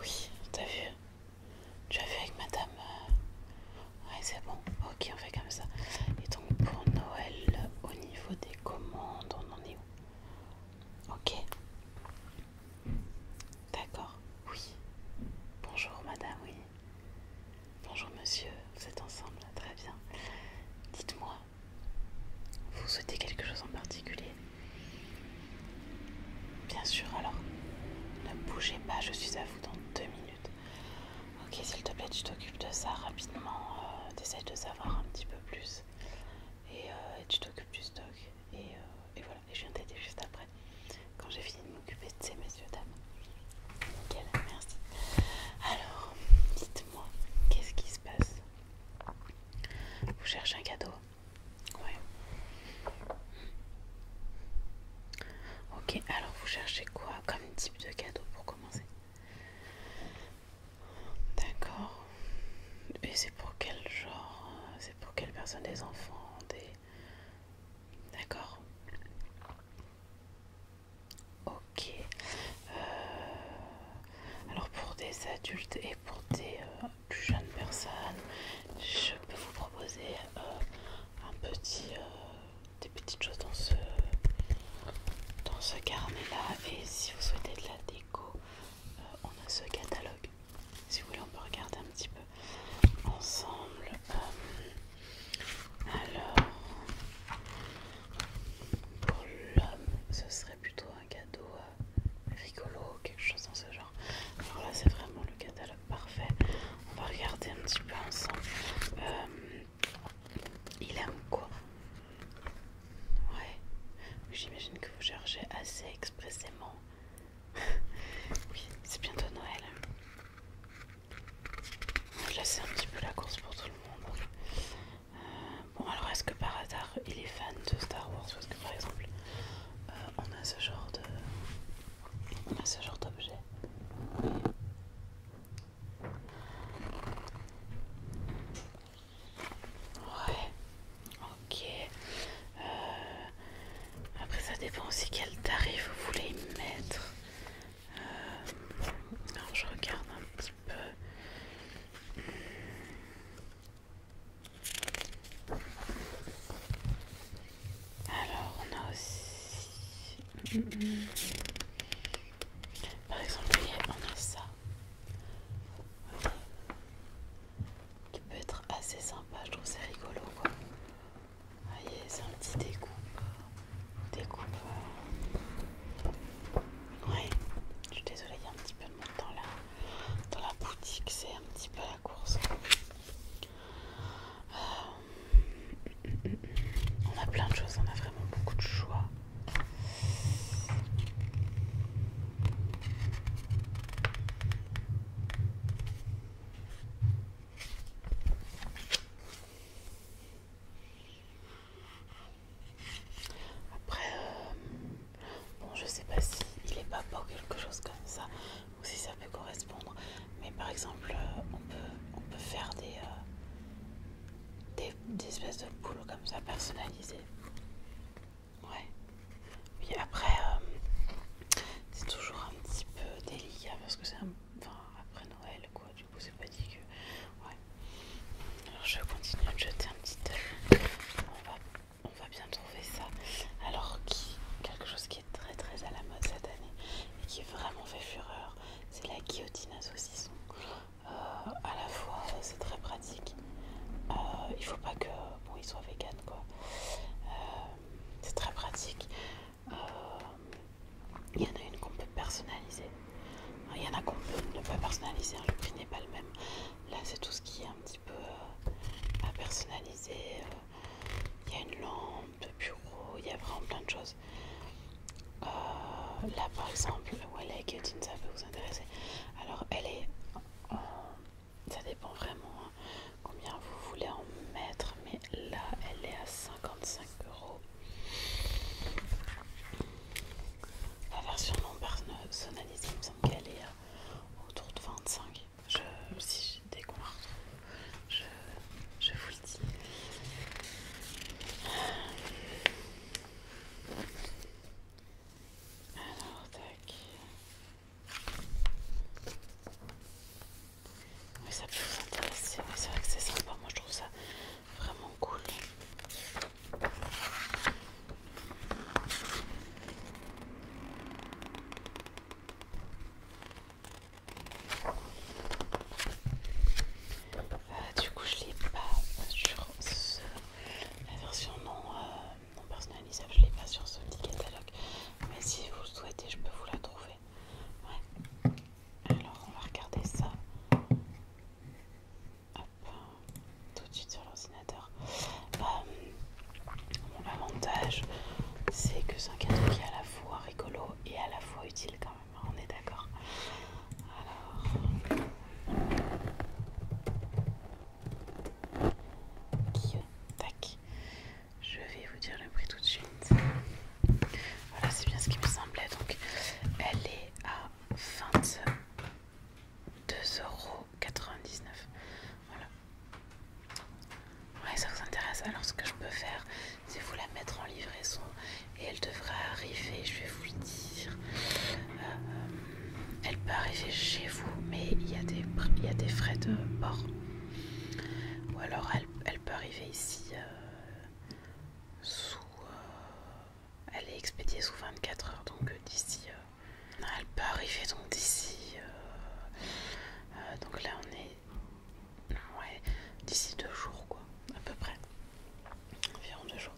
Oui, t'as vu Tu as vu avec madame euh, Ouais, c'est bon. Ok, on fait comme ça. Et donc pour Noël, au niveau des commandes, on en est où Ok. D'accord, oui. Bonjour madame, oui. Bonjour monsieur, vous êtes ensemble, très bien. Dites-moi, vous souhaitez quelque chose en particulier Bien sûr, alors. Ne bougez pas, je suis à vous dans deux minutes. Ok, s'il te plaît, tu t'occupes de ça rapidement. Euh, de savoir un petit peu plus. Et, euh, tu t'occupes du stock. Euh, et, voilà, et je viens t'aider juste après. Quand j'ai fini de m'occuper de ces messieurs, dames. Nickel, merci. Alors, dites-moi, qu'est-ce qui se passe Vous cherchez un cadeau Ouais. Ok, alors vous cherchez quoi comme type de cadeau pour commencer D'accord. Et c'est pour quel genre C'est pour quelle personne Des enfants Des. D'accord. Ok. Euh, alors pour des adultes et pour des euh, plus jeune personne, je peux vous proposer euh, un petit, euh, des petites choses dans ce, dans ce carnet-là. Et si vous souhaitez de la déco, euh, on a ce catalogue. Si vous voulez, on peut regarder un petit peu ensemble. alors, pour l'homme, ce serait plutôt un cadeau euh, rigolo, quelque chose dans ce genre. Alors là, c'est vraiment le catalogue parfait. On va regarder un petit peu ensemble. Euh, il il en quoi Ouais, j'imagine que vous cherchez assez expressément. oui, c'est bientôt Noël. Là, c'est un petit peu la course pour tout le monde. Euh, bon alors est-ce que par hasard il est fan de Star Wars parce que par exemple euh, on a ce genre de ce genre d'objet Ouais ok euh, après ça dépend aussi quel tarif vous voulez mettre alors je regarde un petit peu alors, on a aussi... Par exemple, on a ça. Qui peut être assez sympa, je trouve c'est rigolo quoi. Voyez, ah, c'est un petit découpe. Euh, découpe. Euh. Oui, je suis désolée, il y a un petit peu dans la, boutique, c'est un petit peu la course. Euh, on a plein de choses, on a vraiment beaucoup de choix. Après, euh, bon, je sais pas si il est pas pour quelque chose comme ça ou si ça peut correspondre. Mais par exemple, euh, on, peut, on peut faire des, euh, espèces de boules comme ça personnalisées. Ouais. Oui, après, c'est toujours un petit peu délicat parce que c'est après Noël, quoi. Alors, je continue de jeter un petit On va, bien trouver ça. Alors, quelque chose qui est très très à la mode cette année et qui vraiment fait fureur, c'est la guillotine à saucisson. A euh, à la fois, c'est très pratique. Euh, il faut pas que bon, il soit vegan quoi. Euh, c'est très pratique. Il y en a une qu'on peut personnaliser il y en a qu'on ne pas personnaliser, hein, le prix n'est pas le même. Là, c'est tout ce qui est un petit peu euh, à personnaliser. Euh, il y a une lampe de bureau, il y a vraiment plein de choses. Euh, là, par exemple, Wallet Guillotine, ça peut vous intéresser. Alors, elle est. ça dépend vraiment hein, combien vous voulez en mettre, mais là, elle est à 55 euros. La version non-personnalisée, il me semble qu'elle est euh, autour de 25. Je, si, dès qu'on la je, vous le dis. Alors, tac. Oui, ça peut vous intéresser. c'est vrai que c'est sympa. Moi, je trouve ça Vraiment cool. Euh, du coup, je l'ai pas sur la version non, euh, non personnalisable, je l'ai pas sur ce petit catalogue. Mais si vous le souhaitez, je peux vous la trouver. Alors on va regarder ça. Hop, tout de suite sur l'ordinateur. Euh, mon avantage, c'est que c'est un cadeau qui est à la fois rigolo et à la fois utile quand même. On est d'accord. Alors. Tac. Je vais vous dire le prix tout de suite. Voilà, c'est bien ce qui me semblait. Donc, elle est à 22,99€. Voilà. Ouais, ça vous intéresse. Alors, ce que je peux faire, c'est vous la mettre en livraison et elle devrait arriver. Je vais vous le dire. Euh, elle peut arriver chez vous, mais il y, a des, frais de port. Ou alors elle, peut arriver ici euh, sous, euh, elle est expédiée sous 24 heures, donc euh, d'ici, euh, elle peut arriver donc d'ici, donc là on est, ouais, d'ici deux jours quoi, à peu près, environ deux jours.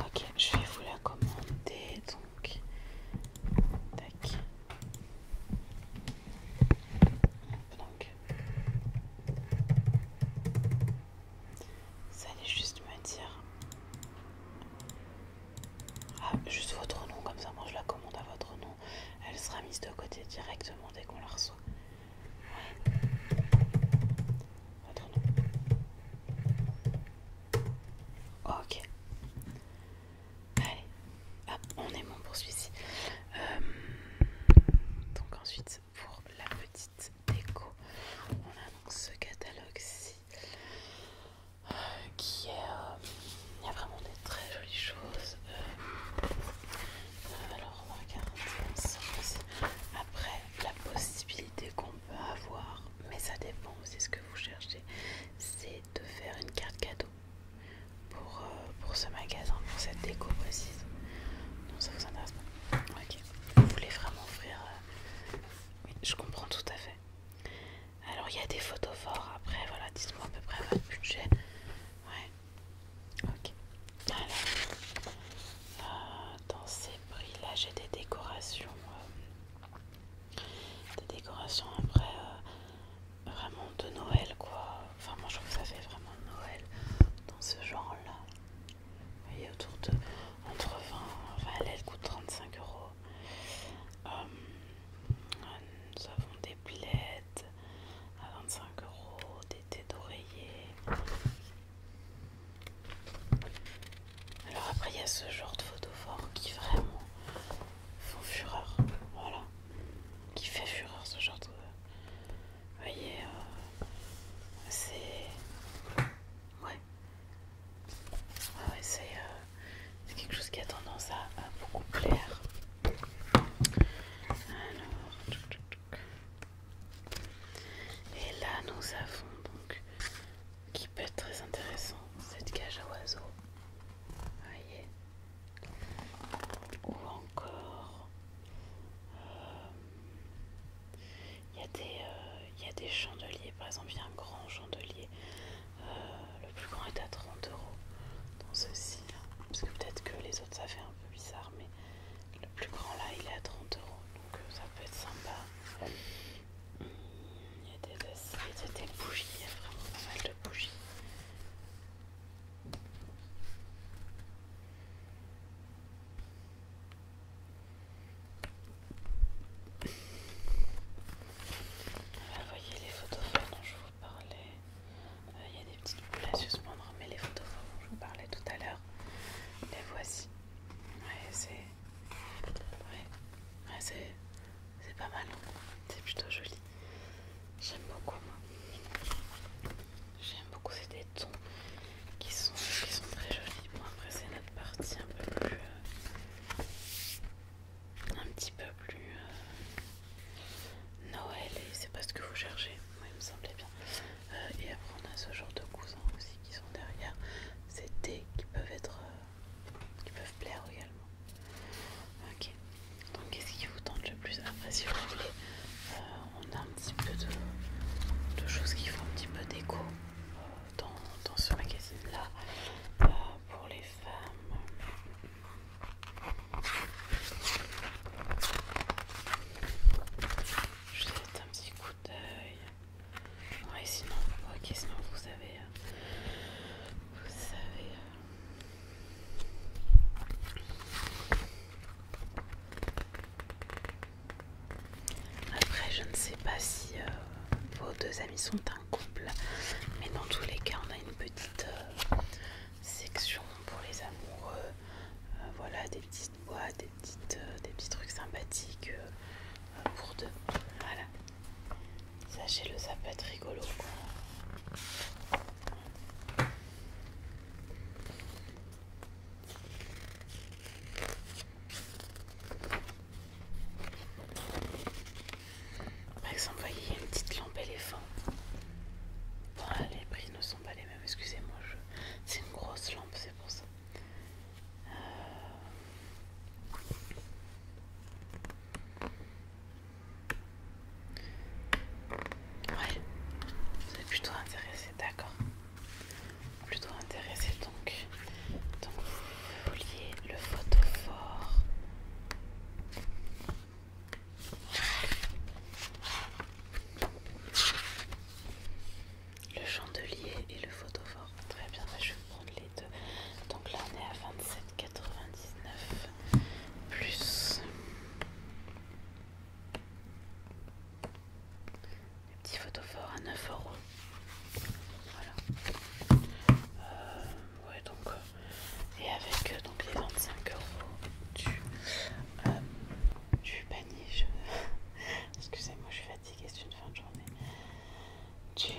Ok, je vais vous la commander donc, tac. Donc, ça allait juste me dire. Ah, juste votre nom, comme ça, moi je la commande à votre nom. Elle sera mise de côté directement dès qu'on la reçoit. Votre nom. Ok. Allez. on est bon pour celui-ci. Euh, donc ensuite, pour la petite déco. On a donc ce catalogue-ci euh, qui est. Euh, il y a vraiment des très jolies choses. Euh, alors, aussi. après la possibilité qu'on peut avoir, mais ça dépend aussi de ce que vous cherchez, c'est de faire une carte cadeau pour, euh, pour ce magasin, pour cette déco précise. Non, ça vous intéresse pas. Ok, vous voulez vraiment offrir. Euh, oui, je comprends tout à fait. Alors, il y a des photos forts. Après, voilà, dites-moi à peu près votre budget. Ouais. Ok. Alors, euh, dans ces prix-là, j'ai des décorations. des décorations après vraiment de Noël quoi. Enfin moi je trouve que ça fait vraiment Noël dans ce genre là. Vous voyez autour de entre 20, enfin elle, coûte 35 euros. Euh, nous avons des blettes à 25 euros, des têtes d'oreiller. Alors après il y a ce genre de photophores qui vraiment font fureur. Voilà. Qui fait fureur ce genre de vous voyez, euh, c'est. Ouais. Ah ouais, euh, c'est quelque chose qui a tendance à, beaucoup plaire. Alors. Et là, nous avons donc. Qui peut être très intéressant, cette cage à oiseaux. Voyez ou encore il euh, euh, y, a des chandeliers par exemple il y a un grand chandelier euh, le plus grand est à 30 euros dans ceci là parce que peut-être que les autres ça fait un peu bizarre mais le plus grand là il est à 30 euros donc ça peut être sympa il y a des il y a des bougies, il y a vraiment pas mal de bougies vous voyez les photos dont je vous parlais. Euh, il y a des petites boules à suspendre, mais les photos dont je vous parlais tout à l'heure, les voici. Ouais, c'est. Ouais. c'est... C'est pas mal, c'est plutôt joli. J'aime beaucoup moi. J'aime beaucoup, c'est des tons qui sont, très jolis. Bon après c'est notre partie un peu plus... Euh, un petit peu plus... Euh, Noël et c'est pas ce que vous cherchez. Moi il me semblait bien. Euh, et après on a ce genre de cousins aussi qui sont derrière. C'est des qui peuvent être... qui peuvent plaire également. Ok, donc qu'est-ce qui vous tente le plus Après, si vous voulez, euh, on a un petit peu de, choses qui font un petit peu d'écho euh, dans, ce magazine là euh, pour les femmes. Je vais mettre un petit coup d'œil. Ouais, sinon, ok, sinon vous savez vous savez. Après, je ne sais pas si euh, vos deux amis sont un couple, mais dans tous les cas, on a une petite euh, section pour les amoureux. Euh, voilà, des petites boîtes, des, petites, des petits trucs sympathiques pour deux. Voilà. Sachez-le, ça peut être rigolo. Par exemple, voyez, il y a une petite lampe éléphant. les prix ne sont pas les mêmes, excusez-moi. Je... C'est une grosse lampe, c'est pour ça. Euh. Ouais, vous êtes plutôt intéressé, d'accord. Plutôt intéressé donc. Donc vous vouliez le photophore. Le chandelier et le photophore. Très bien, bah je prendre les deux. Donc là, on est à 27,99 plus les petits photophores à 9 euros. Voilà. Euh, ouais, donc euh, et avec euh, donc les 25 euros du, du panier. Excusez-moi, je suis fatiguée, c'est une fin de journée. tu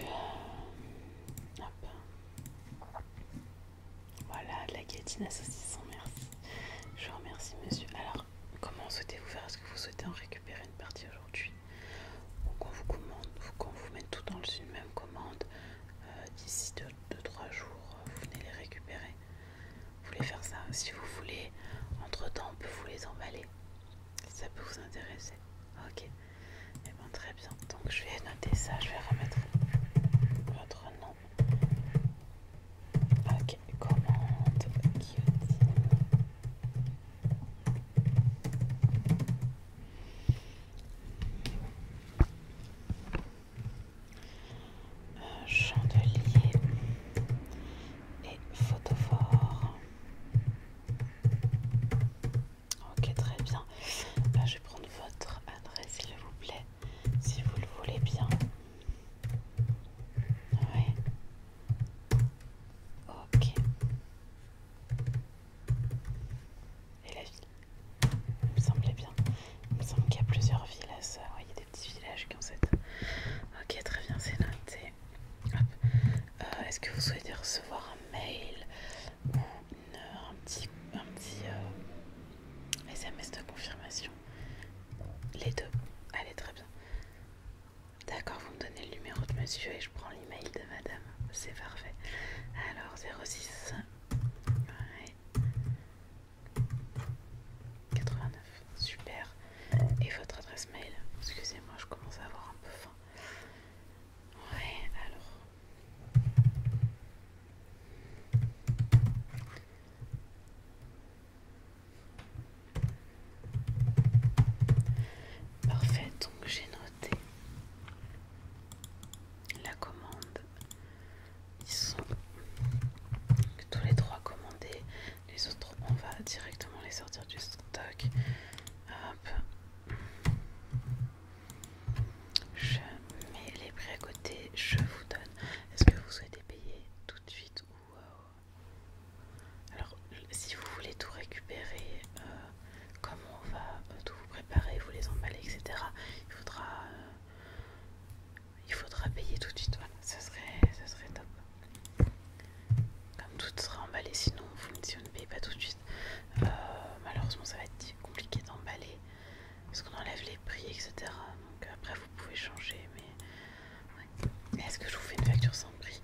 voilà, la guillotine à merci. Je vous remercie, monsieur. Alors, comment souhaitez-vous faire Est-ce que vous souhaitez en récupérer une partie aujourd'hui Ou qu'on vous commande, ou vous mette tout dans une même commande euh, D'ici 2-3 jours, euh, vous venez les récupérer. Vous voulez faire ça Si vous voulez, entre-temps, on peut vous les emballer. ça peut vous intéresser. Ok. Eh ben, très bien. Donc je vais noter ça, je vais remettre votre nom. Ok, commande euh, chandelier et photophore. Ok, très bien. je vais prendre votre adresse, s'il vous plaît, si vous le voulez bien. Oui. Ok. Et la ville Il me semblait bien. Il me semble qu'il y a plusieurs villes à ça. Il y a des petits villages qui ont cette. Ok, très bien, c'est noté. Euh, est-ce que vous souhaitez recevoir un mail ou euh, un petit, SMS euh, de confirmation Les deux. Allez, très bien. D'accord, vous me donnez le numéro de monsieur et je prends l'email de madame. C'est parfait. Alors, 06 89. Super. Et votre adresse mail Excusez-moi, je commence à avoir un peu faim. Ouais, alors. Parfait, donc j'ai noté la commande. Ils sont tous les trois commandés. Les autres, on va directement les sortir du stock. Ah, je mets les prix à côté, je vous donne. Est-ce que vous souhaitez payer tout de suite ou euh, Alors, si vous voulez tout récupérer, euh, comment on va euh, tout vous préparer, vous les emballer, etc., il faudra, il faudra payer tout de suite. Ce serait, ce serait top. Comme tout sera emballé, sinon vous ne payez pas tout de suite. Euh, malheureusement, ça va être compliqué d'emballer parce qu'on enlève les prix, etc. Donc après, vous pouvez changer, mais est-ce que je vous fais une facture sans prix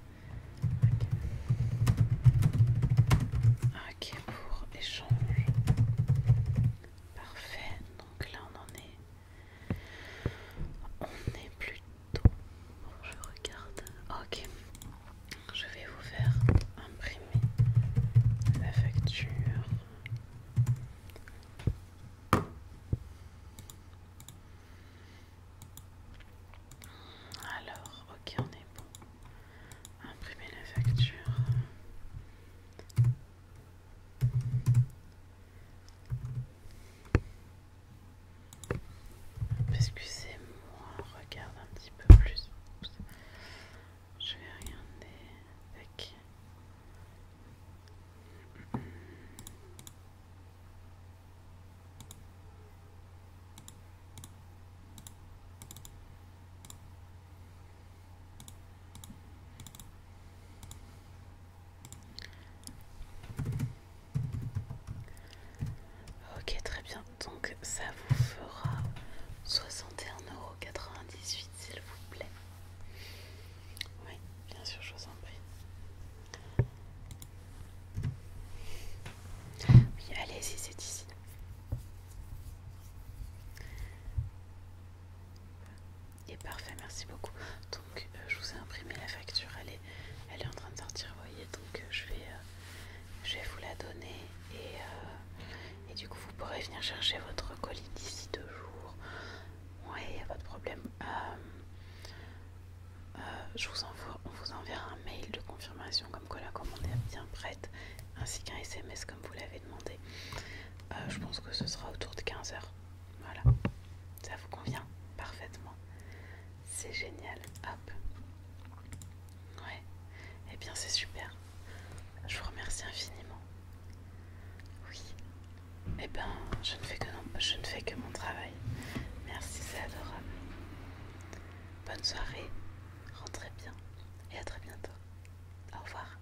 ok, pour échange. Parfait, donc là on en est. On est plutôt je regarde. Ok. Je vais vous faire imprimer la facture. Alors, ok, on est bon. Imprimer la facture. Excusez-moi, regarde un petit peu plus. Je vais regarder. avec. Ok, très bien. Donc ça vous fera 61,98€ s'il vous plaît. Oui, bien sûr, je vous en prie. Oui, allez-y, c'est ici. Et parfait, merci beaucoup. Euh, je vous ai imprimé la facture, elle est, en train de sortir, voyez, donc euh, je, vais, euh, vais vous la donner et, du coup vous pourrez venir chercher votre colis d'ici deux jours. Ouais, il n'y a pas de problème. je vous on vous enverra un mail de confirmation comme quoi la commande est bien prête, ainsi qu'un SMS comme vous l'avez demandé. je pense que ce sera autour de 15h. Voilà, ça vous convient parfaitement. C'est génial. Hop. Ouais. Eh bien, c'est super. Je vous remercie infiniment. Oui. Eh ben, je ne fais que, je ne fais que mon travail. Merci, c'est adorable. Bonne soirée. Rentrez bien. Et à très bientôt. Au revoir.